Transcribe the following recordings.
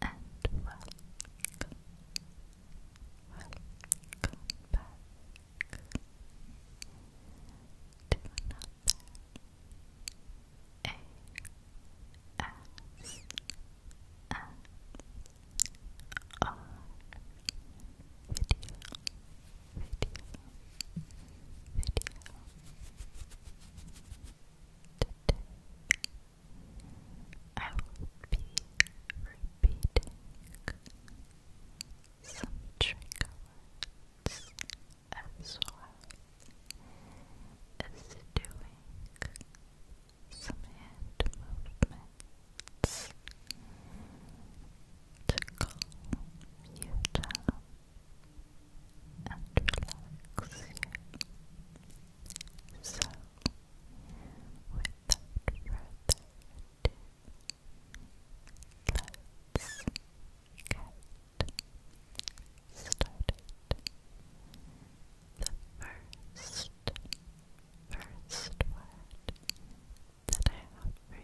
and welcome, welcome back to another ASMR video, video, video. Today, I will be repeating some trigger as well as doing some hand movements to calm you down and relax you. So, without further ado, let's get started. The first, first word that I have for you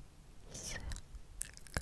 is silk.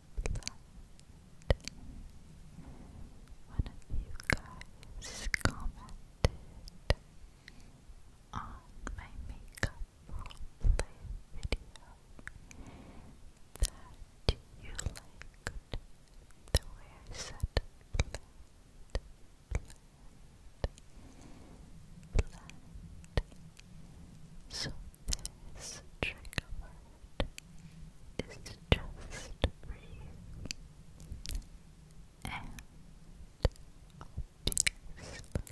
that you commented on my makeup roleplay video that you liked the way I said blend, blend, blend. So this trigger is just for you. And obviously for anyone that likes the way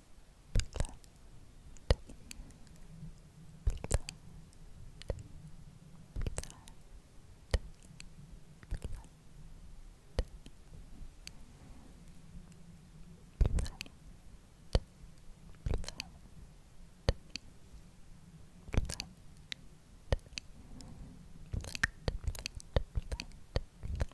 blood, blood, blood, blood. Blood, blood, blood, blood, blood, blood, blood,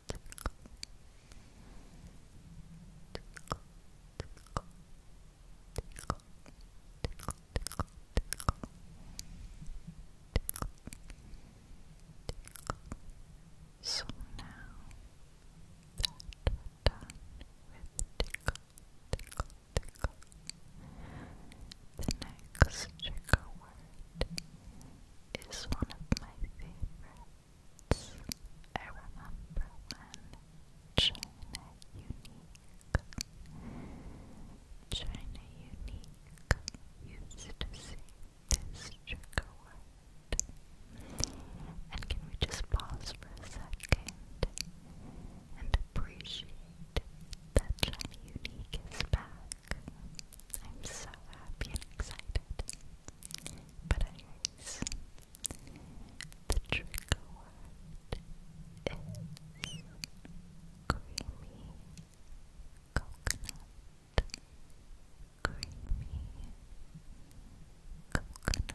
tickle, tickle, So now that done with tickle, tickle, tickle, the next trigger word is one of my favorite I remember when China Unique, China Unique used to say this trigger And can we just pause for a second and appreciate that China Unique is back? I'm so happy and excited. But, anyways, the trigger is creamy coconut. Creamy coconut. Creamy coconut. Creamy coconut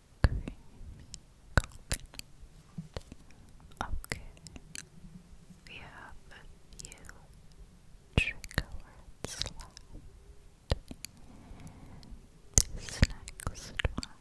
creamy coconut. Okay, we have a few trigger words left. This next one is glass,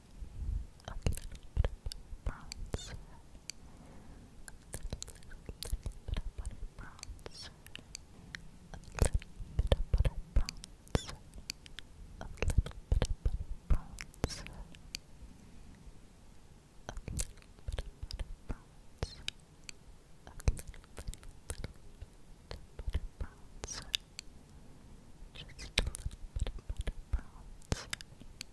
a little bit of bronzer, a little, little, little bit of butter bronzer, a little bit of butter bronzer, a little bit of butter bronzer, a little bit of butter bronzer, a little, little, little bit of butter bronzer. Just a little bit of butter bronzer.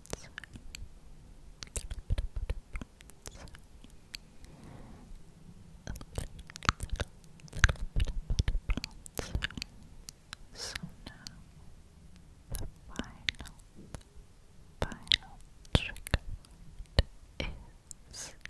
points. Little So now the final, final trick is Sleep. Sleep.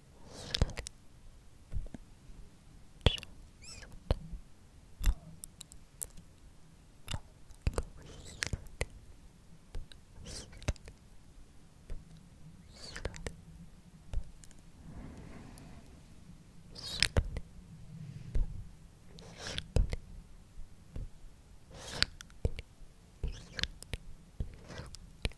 Sleep. Just sleep. Sleep. Sleep. Sleep. Sleep. Sleep. Sleep. Sleep.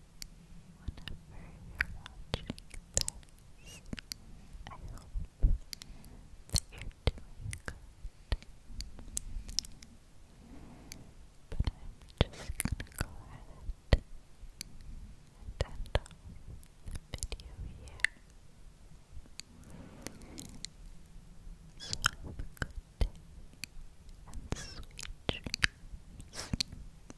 whenever you I hope that you're doing good. But I'm just gonna go ahead and end the video here. So good and sweet